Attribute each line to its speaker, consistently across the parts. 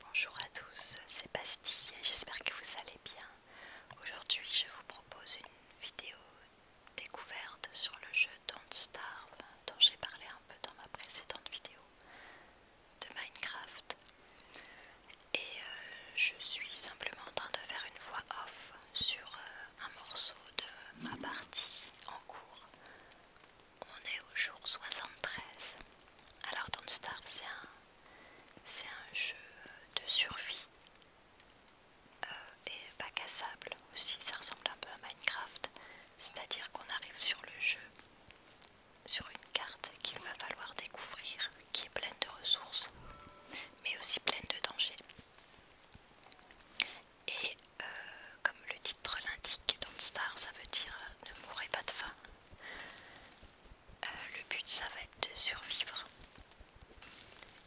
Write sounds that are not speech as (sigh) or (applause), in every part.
Speaker 1: Bonjour à tous, c'est Bastille et j'espère que vous allez bien. Aujourd'hui je vous propose une vidéo découverte sur le jeu Don't Starve dont j'ai parlé un peu dans ma précédente vidéo de Minecraft. Et euh, je suis simplement en train de faire une voix off sur euh, un morceau de ma partie en cours on est au jour 73. Alors Don't Starve c'est un, jeu de survie euh, et pas cassable aussi, ça ressemble un peu à Minecraft. C'est-à-dire qu'on arrive sur le jeu, sur une carte qu'il va falloir découvrir, qui est pleine de ressources, mais aussi pleine de dangers. Euh, comme le titre l'indique, Don't Star ça veut dire euh, ne mourrez pas de faim. Euh, le but ça va être de survivre.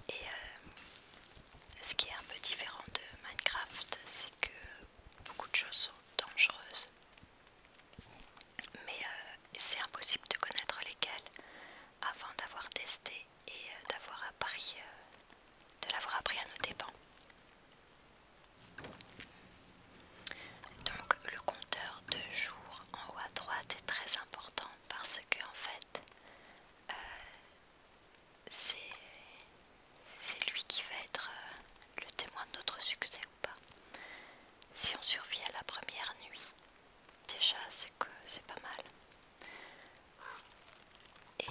Speaker 1: Et ce qui est un peu différent de Minecraft, c'est que beaucoup de choses sont dangereuses. Mais c'est impossible de connaître lesquelles avant d'avoir testé et d'avoir appris de l'avoir appris à nos dépens. Donc le compteur de jours en haut à droite est très important parce que en fait euh, c'est lui qui va être euh, le témoin de notre succès ou pas. Si on survit à la première nuit, déjà c'est que c'est pas mal. Euh,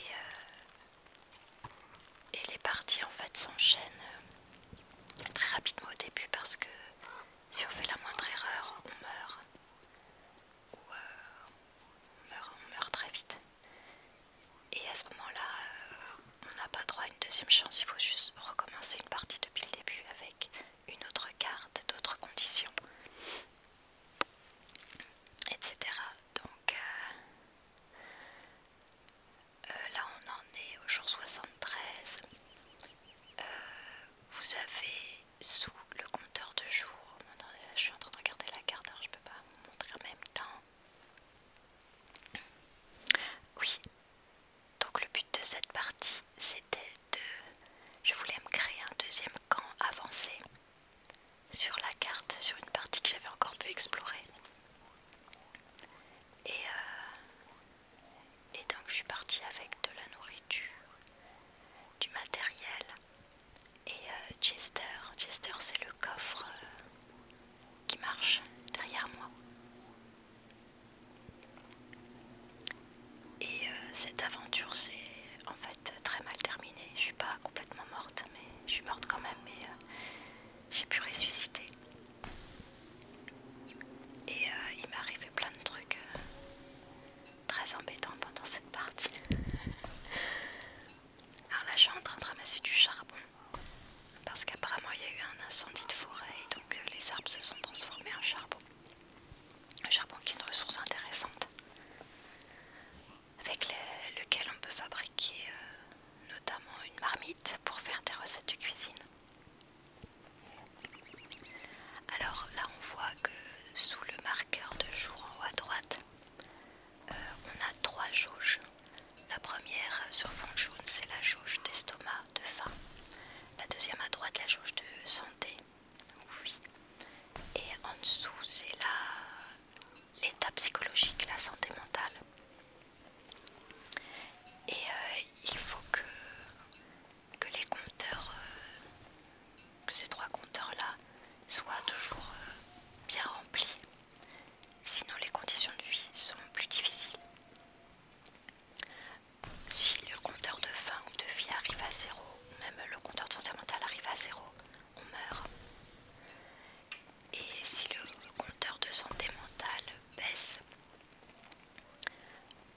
Speaker 1: et, les parties en fait s'enchaînent euh, très rapidement au début parce que si on fait la moindre erreur, on meurt. Ou euh, on, meurt, très vite. Et à ce moment-là, on n'a pas droit à une deuxième chance, il faut juste recommencer une partie depuis le début avec une autre carte, d'autres conditions, etc. Donc, euh, là on en est au jour 73. Euh, vous avez sous le compteur de jours, oh, je suis en train de regarder la carte, alors je peux pas vous montrer en même temps. Oui, donc le but de cette partie c'était de... Je voulais me créer un deuxième camp avancé sur la carte, sur une partie que j'avais encore pu explorer. Et, euh, donc je suis partie avec de la nourriture, du matériel et euh, Chester. Chester c'est le coffre euh, qui marche derrière moi. Et cette aventure s'est en fait très mal terminée. Je suis pas complètement morte, mais je suis morte quand même, mais euh, j'ai pu ressusciter. Et euh, il m'est arrivé plein de trucs euh, très embêtants pendant cette partie. Alors là, je suis en train de ramasser du charbon parce qu'apparemment il y a eu un incendie de forêt donc les arbres se sont transformés en charbon. Le charbon qui est une ressource intéressante avec lequel on peut fabriquer euh, notamment une marmite pour faire des recettes de cuisine. Alors là on voit que sous le marqueur de jour en haut à droite, euh, on a trois jauges. La première euh, sur fond jaune c'est la jauge d'estomac, de faim. La deuxième à droite la jauge de santé, ou Et en dessous c'est la l'état psychologique, la santé mentale. Et euh, il faut que, les compteurs, euh, que ces trois compteurs-là soient toujours euh, bien remplis. Sinon les conditions de vie sont plus difficiles. Si le compteur de faim ou de vie arrive à zéro, même le compteur de santé mentale arrive à zéro, on meurt. Et si le compteur de santé mentale baisse,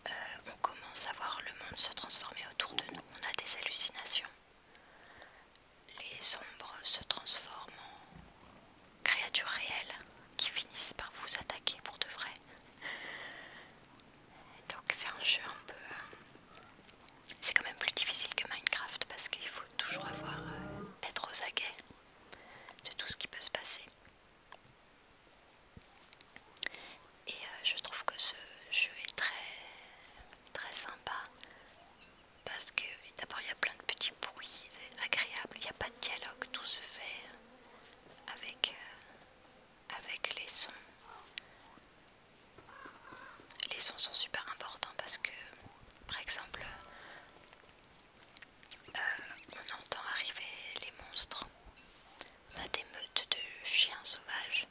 Speaker 1: euh, on commence à voir le monde se transformer autour de nous. On a des hallucinations. Les ombres se transforment en créatures réelles qui finissent par vous attaquer pour de vrai. Donc c'est un jeu un peu euh, c'est quand même plus difficile que Minecraft parce qu'il faut toujours avoir euh, être aux aguets de tout ce qui peut se passer. Et euh, je trouve que ce jeu est très très sympa parce que d'abord il y a plein de petits bruits agréable, il n'y a pas de dialogue, tout se fait avec, euh, avec les sons. Les sons sont super importants parce que, par exemple, euh, on entend arriver les monstres. On a des meutes de chiens sauvages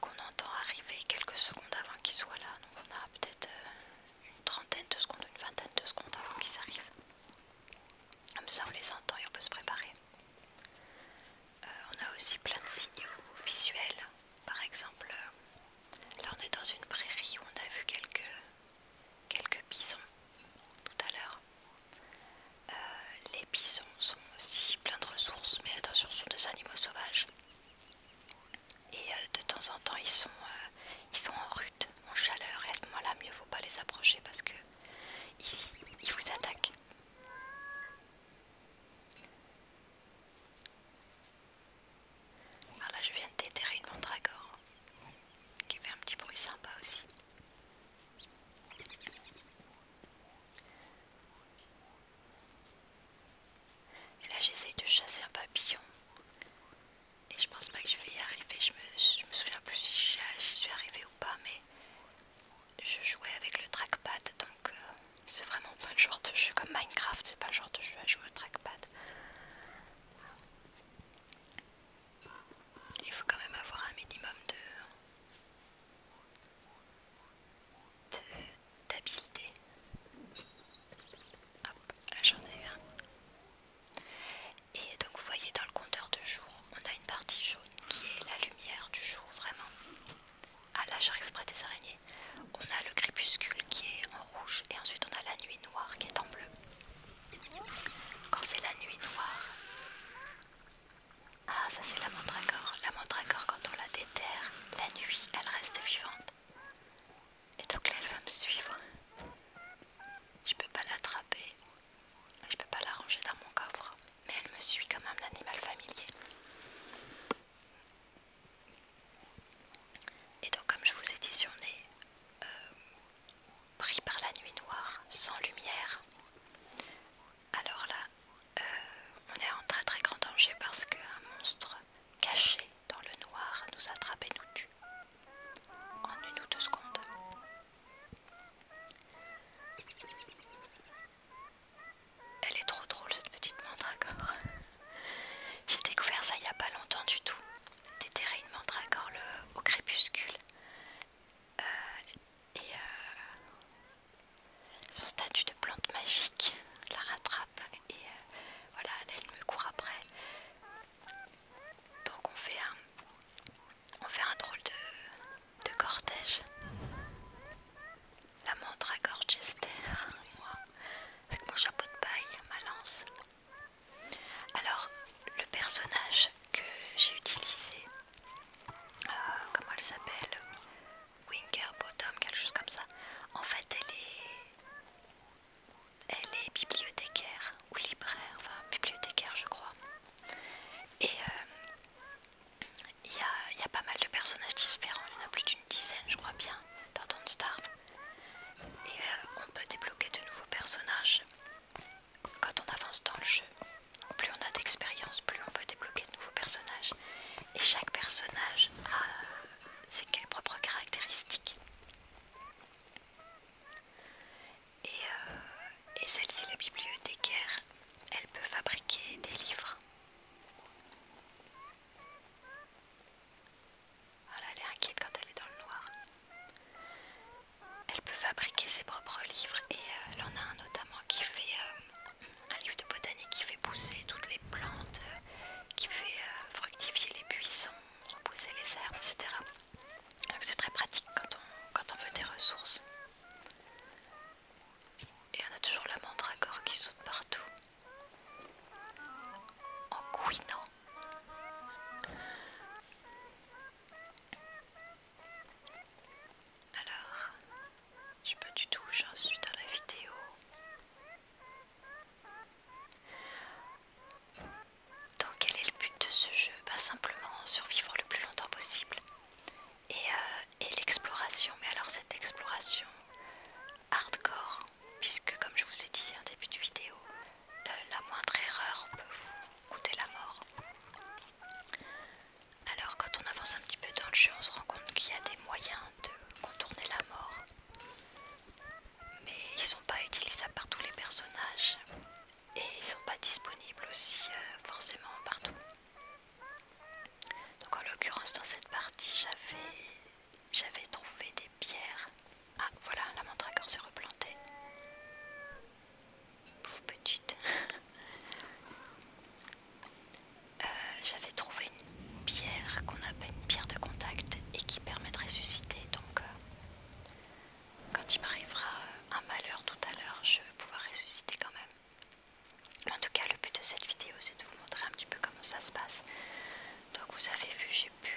Speaker 1: qu'on entend arriver quelques secondes avant qu'ils soient là. Donc on a peut-être euh, une trentaine de secondes, une vingtaine de secondes avant qu'ils arrivent. Comme ça on les entend et on peut se préparer. Euh, on a aussi plein de signaux visuels. Par exemple, euh, là on est dans une prairie où on a vu quelques, bisons tout à l'heure. Euh, les bisons sont aussi plein de ressources, mais attention, ce sont des animaux sauvages. Et de temps en temps, ils sont, en rut, en chaleur, et à ce moment-là, mieux vaut pas les approcher parce que ils vous attaquent. Alors ah, là, je viens de déterrer une mandragore qui fait un petit bruit sympa aussi. Et là, j'essaye de chasser un papillon. Et je pense pas que je vais y arriver. Je me, me souviens plus si je suis arrivée ou pas, mais je jouais avec le trackpad donc euh, c'est vraiment pas le genre de jeu comme Minecraft, c'est pas le genre de jeu à jouer au trackpad. Il faut quand même avoir un minimum de d'habilité. Hop, là j'en ai un. Et donc vous voyez dans le compteur de jour, on a une partie jaune qui est la lumière du jour vraiment. Ah là j'arrive près des araignées. On a le crépuscule qui est en rouge et ensuite on a la nuit noire qui est en bleu. Quand c'est la nuit noire... Ah ça c'est la montre à corps. La montre à corps quand on la déterre, la nuit elle reste vivante. Et donc là elle va me suivre. Je peux pas l'attraper. Je peux pas la ranger dans mon coffre mais elle me suit comme un animal familier. Et donc comme je vous ai dit, si on est euh, pris par la nuit noire, sans lumière, alors là, euh, on est en très très grand danger parce qu'un monstre caché dans le noir nous attrape et nous tue en une ou deux secondes. Elle est trop drôle cette petite mandragore. (laughs) J'ai découvert ça il n'y a pas longtemps du tout. Déterrer une mandragore au crépuscule. Euh, et euh, son statut de plante magique la rattrape et euh, voilà, elle me court après. Donc on fait un, on fait un drôle de, de cortège. La montre à Gorchester, moi, avec mon chapeau de paille, ma lance. Alors, le personnage que j'ai utilisé, euh, comment elle s'appelle Bottom, quelque chose comme ça. En fait, elle est, elle est bibliothécaire ou libraire, enfin bibliothécaire, je crois. Et euh, il y, a, pas mal de personnages différents, il y en a plus d'une dizaine je crois bien dans Don't Starve. Et euh, on peut débloquer de nouveaux personnages quand on avance dans le jeu. plus on a d'expérience, plus on peut débloquer de nouveaux personnages. Et chaque personnage a euh, ses propres caractéristiques. Euh, et, celle-ci, la bibliothécaire, elle peut fabriquer des livres. Voilà, elle est inquiète quand elle est dans le noir. Elle peut fabriquer ses propres livres et là euh, elle en a un notamment qui fait euh, un livre de botanique qui fait pousser toutes les plantes, qui fait fructifier les buissons, repousser les herbes, etc. Donc c'est très pratique quand on veut des ressources. Et on a toujours à corps qui saute partout. En couinant. Alors, je sais pas du tout où j'en suis dans la vidéo. Donc quel est le but de ce jeu bah, simplement survivre le plus longtemps possible. Euh, et, l'exploration, mais alors cette exploration hardcore, puisque comme je vous ai dit en début de vidéo, euh, la moindre erreur peut vous coûter la mort. Alors quand on avance un petit peu dans le jeu, on se rend compte qu'il y a des moyens de contourner la mort, mais ils sont pas utilisables par tous les personnages et ils sont pas disponibles aussi euh, forcément partout. Donc en l'occurrence dans cette partie j'avais j'avais trouvé des pierres. Ah voilà la mandragore s'est replantée. Pouf, petite. (laughs) Euh, j'avais trouvé une pierre qu'on appelle une pierre de contact et qui permet de ressusciter donc euh, quand il m'arrivera euh, un malheur tout à l'heure, je vais pouvoir ressusciter quand même. En tout cas, le but de cette vidéo, c'est de vous montrer un petit peu comment ça se passe. Donc vous avez vu, j'ai pu...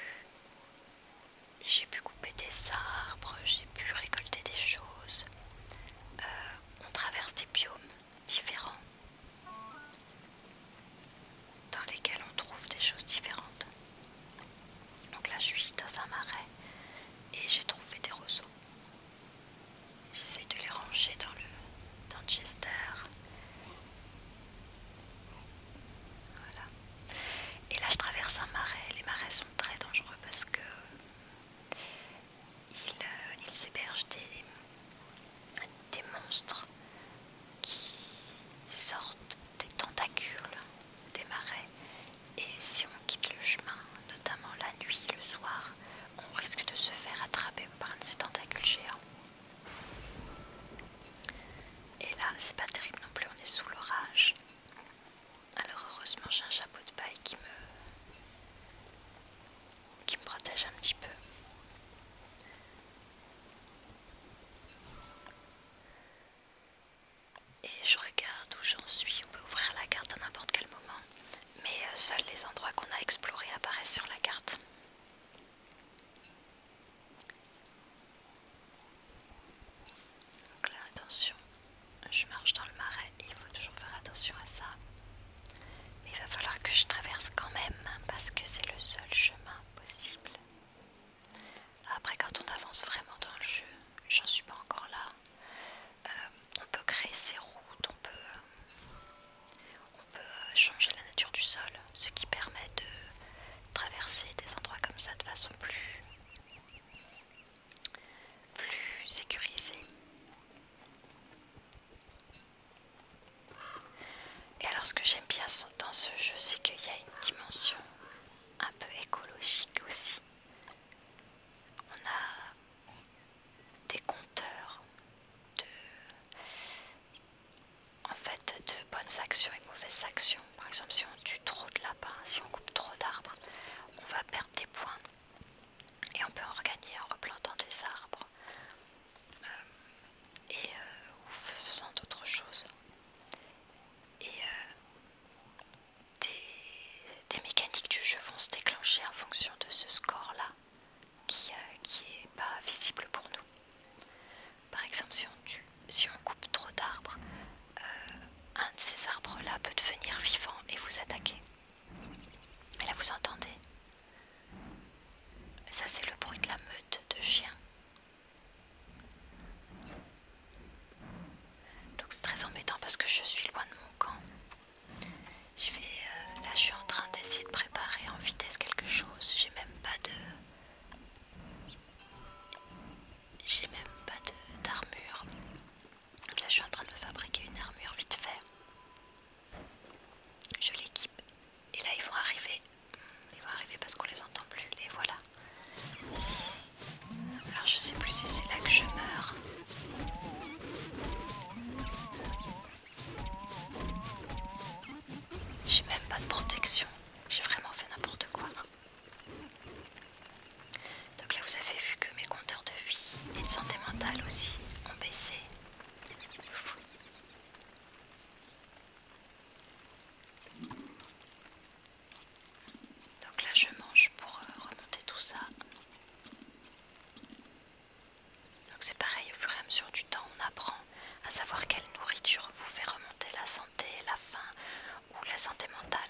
Speaker 1: J'ai pu couper des arbres, j'ai pu récolter des choses. Euh, on traverse des biomes différents dans lesquels on trouve des choses différentes. Donc là je suis dans un marais et j'ai trouvé des roseaux. J'essaye de les ranger dans le, dans Voilà. Et là je traverse un marais. Les marais sont très dangereux parce que ils, euh, hébergent des, des monstres qui sortent des tentacules des marais et si on quitte le chemin, notamment la nuit, le soir, on risque de se faire attraper par un de ces tentacules géants. Et là, c'est pas terrible non plus, on est sous l'orage. Alors heureusement, j'ai un chapeau de paille qui me qui me protège un petit peu et je regarde où j'en suis. On peut ouvrir la carte à n'importe quel moment, mais euh, seuls les endroits qu'on a explorés apparaissent sur la carte. Donc là, attention, je marche dans le marais, il faut toujours faire attention à ça. Mais il va falloir que je traverse quand même, hein, parce que c'est le seul chemin possible. Après, quand on avance vraiment dans le jeu, j'en suis pas encore là. Euh, on peut créer ses routes, on peut, euh, on peut euh, changer la nature du sol, ce qui permet de traverser des endroits comme ça de façon plus, plus sécurisée. Et alors ce que j'aime bien dans ce jeu, c'est qu'il y a une dimension un peu écologique aussi. On a des compteurs de, en fait, de bonnes actions et mauvaises actions. Par exemple, si on tue trop de lapins, si on coupe trop d'arbres, on va perdre des points. Et on peut en regagner en replantant des arbres euh, et euh, ou faisant d'autres choses. Euh, des, mécaniques du jeu vont se déclencher en fonction de ce score-là qui n'est euh, pas visible pour nous. Par exemple, si on, si on coupe trop d'arbres, euh, un de ces arbres-là peut devenir vivant et vous attaquer. Et là, vous entendez Ça, c'est le bruit de la meute de chiens. Donc c'est très embêtant parce que je suis loin de mon camp. Je vais, euh, là je suis en train d'essayer de préparer en vitesse quelque chose. J'ai même pas de... J'ai même pas d'armure. là je suis en train de me fabriquer une armure vite fait. Je l'équipe. Et là ils vont arriver. Ils vont arriver parce qu'on les entend plus. Les voilà. Alors je sais plus si c'est là que je meurs. J'ai même pas de protection. J'ai vraiment fait n'importe quoi. Donc là vous avez vu que mes compteurs de vie et de santé mentale aussi ont baissé. Donc là je mange pour euh, remonter tout ça. Donc c'est pareil, au fur et à mesure du temps on apprend à savoir quelle nourriture vous fait remonter la santé, la faim ou la santé mentale.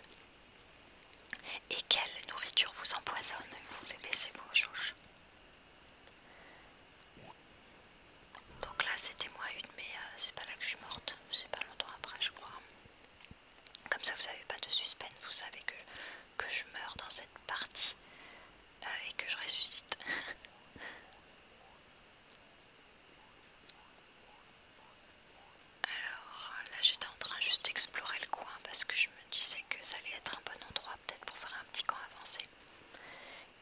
Speaker 1: Et quelle nourriture vous empoisonne vous fait baisser vos joues. Donc là c'était moi une euh, mais c'est pas là que je suis morte, c'est pas longtemps après je crois. Comme ça, vous n'avez pas de suspense, vous savez que, que je meurs dans cette partie euh, et que je ressuscite. (laughs) Alors là, j'étais en train juste d'explorer le coin parce que je me disais que ça allait être un bon endroit peut-être pour faire un petit camp avancé.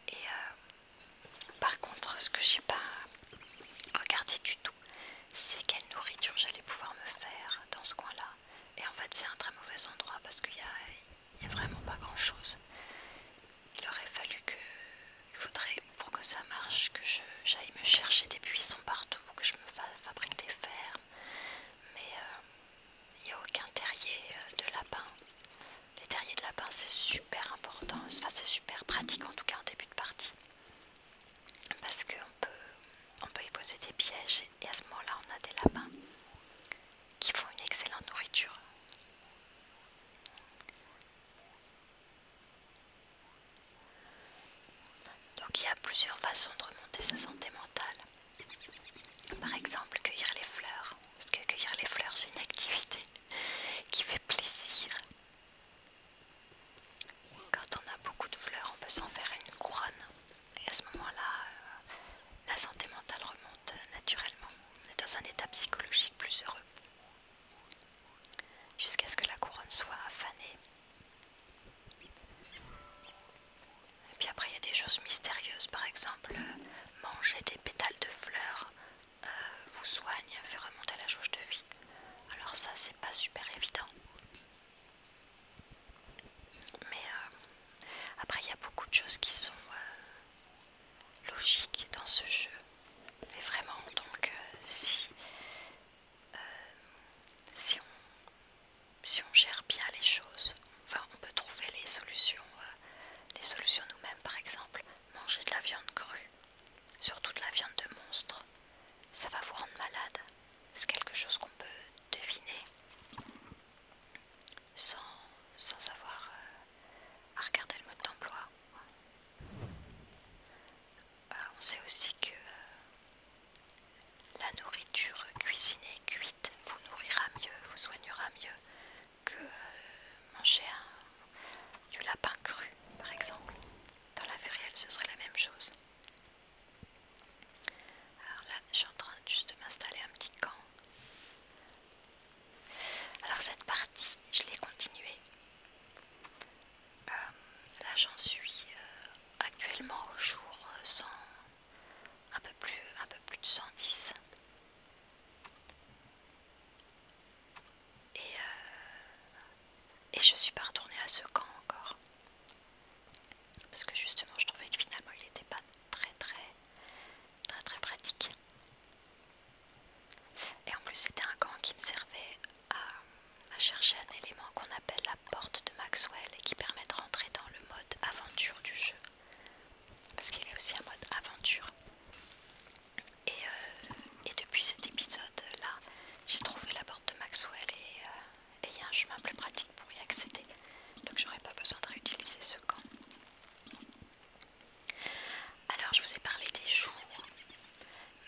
Speaker 1: Et euh, par contre, ce que j'ai pas regardé du tout, c'est quelle nourriture j'allais pouvoir me faire dans ce coin-là. Et en fait, c'est un très mauvais endroit parce qu'il n'y a, y vraiment pas grand-chose. Il aurait fallu que... Il faudrait, pour que ça marche, que j'aille me chercher des buissons partout, que je me fasse fabrique des fers Mais euh, il n'y a aucun terrier euh, de lapin. Les terriers de lapin, c'est super important. Enfin, c'est super pratique, en tout cas, en début de partie parce qu'on peut, on peut y poser des pièges et à ce moment-là on a des lapins qui font une excellente nourriture. Donc il y a plusieurs façons de remonter sa santé mentale. Par exemple, cueillir les fleurs. Parce que cueillir les fleurs, c'est une activité qui fait plaisir. Quand on a beaucoup de fleurs, on peut s'en faire une couronne. Et à ce moment-là, euh, la santé mentale remonte euh, naturellement. On est dans un état psychologique plus heureux. Jusqu'à ce que la couronne soit fanée. Et puis après, il y a des choses mystérieuses, par exemple, euh, manger des pétales de fleurs euh, vous soigne, fait remonter la jauge de vie. Alors ça c'est pas super évident. Mais euh, après il y a beaucoup de choses qui sont euh, logiques dans ce jeu. mais vraiment, donc si, on, si on gère bien les choses, enfin on peut trouver les solutions, les solutions nous-mêmes par exemple, manger de la viande crue sur toute la viande de monstre, ça va vous rendre malade. C'est quelque chose qu'on peut deviner sans, avoir euh, à regarder le mode d'emploi. Euh, on sait aussi que euh, la nourriture cuisinée, cuite, vous nourrira mieux, vous soignera mieux que manger un du lapin cru, par exemple. Dans la vie réelle, ce serait la même chose. Alors là, je suis en train juste de m'installer un petit camp. Alors cette partie, je l'ai continuée. Euh, là, j'en suis euh, actuellement au jour un peu plus, un peu plus de 110. Et, je euh, et je suis pas retournée à ce camp encore. Parce que justement, je trouvais que finalement, il n'était pas très, très, très, pratique. Et en plus, c'était un camp qui me servait à, à chercher un élément qu'on appelle la porte de Maxwell et qui permet de rentrer dans le mode aventure du jeu. Parce qu'il est aussi un mode aventure. Euh, et, depuis cet épisode-là, j'ai trouvé la porte de Maxwell euh, et il y a un chemin plus pratique pour y accéder. Donc j'aurais pas besoin de réutiliser ce camp. Alors je vous ai parlé des jours,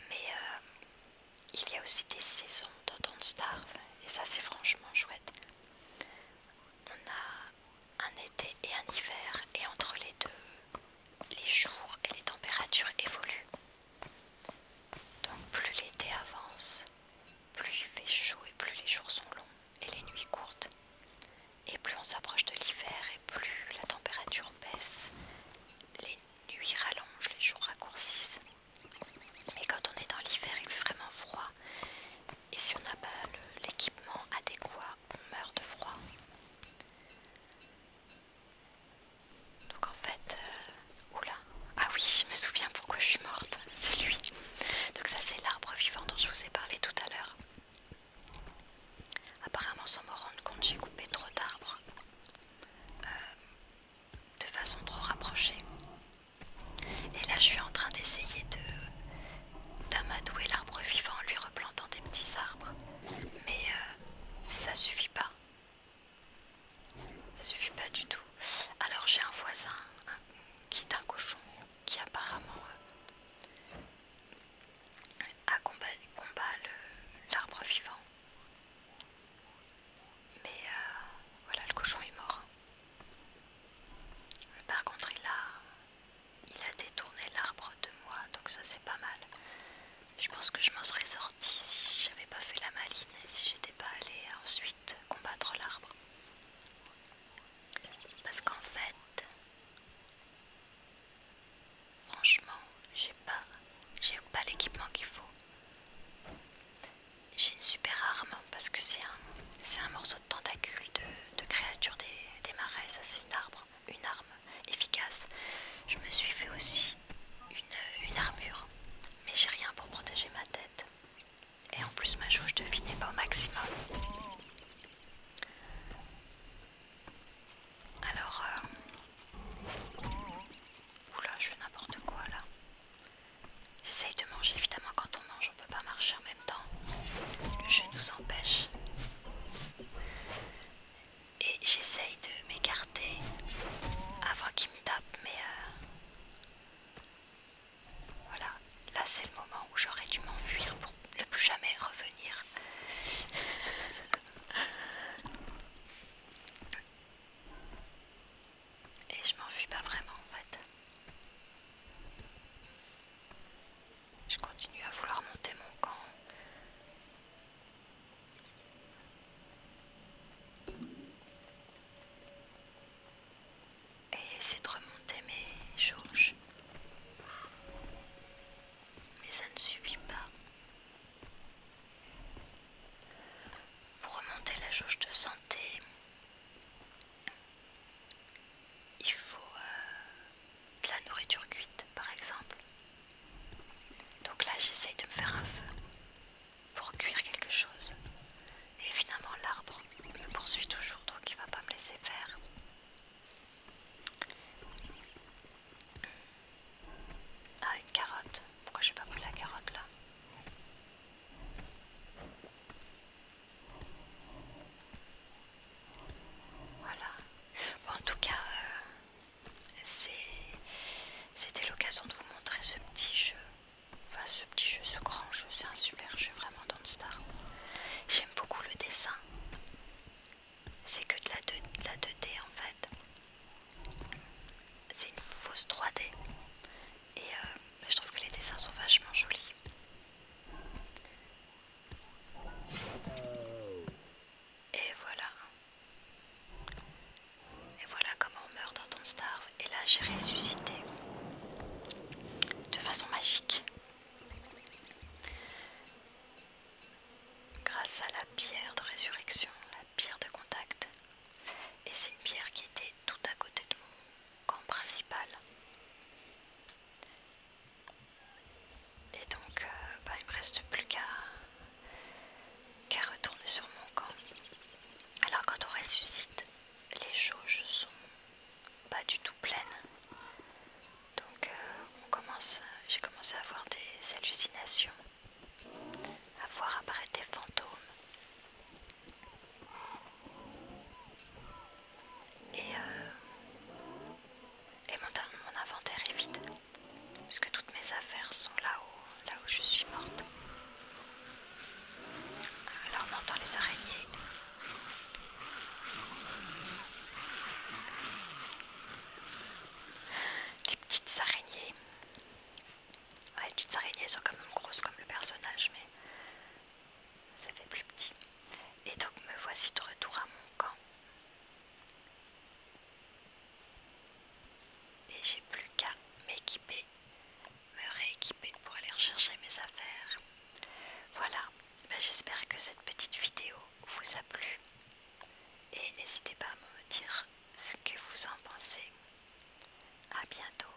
Speaker 1: mais euh, il y a aussi des saisons dans Don't Starve et ça c'est franchement chouette. On a un été et un hiver et entre les deux, les jours et les températures évoluent. Donc plus l'été avance, plus il fait chaud et plus les jours sont longs et les nuits courtes. Et plus on s'approche de l'hiver et plus la température baisse, les nuits rallongent, les jours raccourcissent. et quand on est dans l'hiver, il fait vraiment froid. Et si on n'a pas l'équipement adéquat, on meurt de froid. Donc en fait, euh, oula, ah oui, je me souviens pourquoi je suis morte, c'est lui. Donc ça c'est l'arbre vivant dont je vous ai parlé tout à l'heure. Apparemment sans me rendre compte, j'ai coupé trop d'arbres euh, de façon trop rapprochée. Et là je suis en train d'essayer de d'amadouer l'arbre vivant en lui replantant des petits arbres mais euh, ça suffit pas. Ça suffit pas du tout. Alors j'ai un voisin qui est un cochon qui apparemment euh, combat, l'arbre vivant. Mais euh, voilà, le cochon est mort. Par contre, il a, il a détourné l'arbre de moi, donc ça c'est pas mal. Je pense que je m'en serais sortie si j'avais pas fait la maline et si j'étais pas allée ensuite combattre l'arbre. Parce qu'en fait, franchement, j'ai pas, j'ai pas l'équipement qu'il faut. J'ai une super arme parce que c'est un, un morceau de tentacule de, créature des, marais, ça c'est une arbre une arme efficace. Je me suis fait aussi une, armure, mais j'ai rien pour protéger ma tête. Et en plus ma jauge de vie n'est pas au maximum. Alors... Euh, oula, je fais n'importe quoi là. J'essaye de manger, évidemment quand on mange on peut pas marcher en même temps. Je nous empêche et j'essaye de m'écarter avant qu'il me tape mais euh, voilà là c'est le moment où j'aurais dû m'enfuir pour ne plus jamais revenir (laughs) et je m'enfuis pas vraiment en fait je continue à vouloir monter mon camp. Et essayer de remonter mes jauges. Mais ça ne suffit pas. Pour remonter la jauge de santé, il faut euh, de la nourriture cuite par exemple. Donc là j'essaye de me faire un feu pour cuire quelque chose. Et finalement l'arbre me poursuit toujours donc il va pas me laisser faire. Ah une carotte. Pourquoi j'ai pas pris la carotte là Voilà en tout cas, euh, c'était l'occasion de vous montrer ce petit jeu. Enfin, ce petit jeu, ce grand jeu, c'est un super jeu vraiment le Star. J'aime beaucoup le dessin. C'est que de la, 2, la d en fait. C'est une fausse 3D. Et euh, je trouve que les dessins sont vachement jolis. Et voilà. Et voilà comment on meurt dans ton starve. Et là, j'ai ressuscité. De façon magique. Grâce à la pierre de résurrection, la pierre de contact. Et c'est une pierre qui était tout à côté de mon camp principal. Et donc, euh, bah, il me reste plus qu'à retourner sur mon camp. Alors, quand on ressuscite, les jauges sont pas du tout pleines. Donc, euh, on commence. J'ai commencé à avoir des hallucinations, à voir apparaître des fantômes. Et euh, et mon, inventaire est vide, puisque toutes mes affaires sont là-haut, là où je suis morte. Alors on entend les araignées. Les petites araignées. les petites araignées sont quand même grosses comme le personnage, mais ça fait plus petit. Et donc me voici de retour à mon camp. Et j'ai plus qu'à m'équiper, me rééquiper pour aller rechercher mes affaires. Voilà, ben, j'espère que cette petite vidéo vous a plu. Et n'hésitez pas à me dire ce que vous en pensez. à bientôt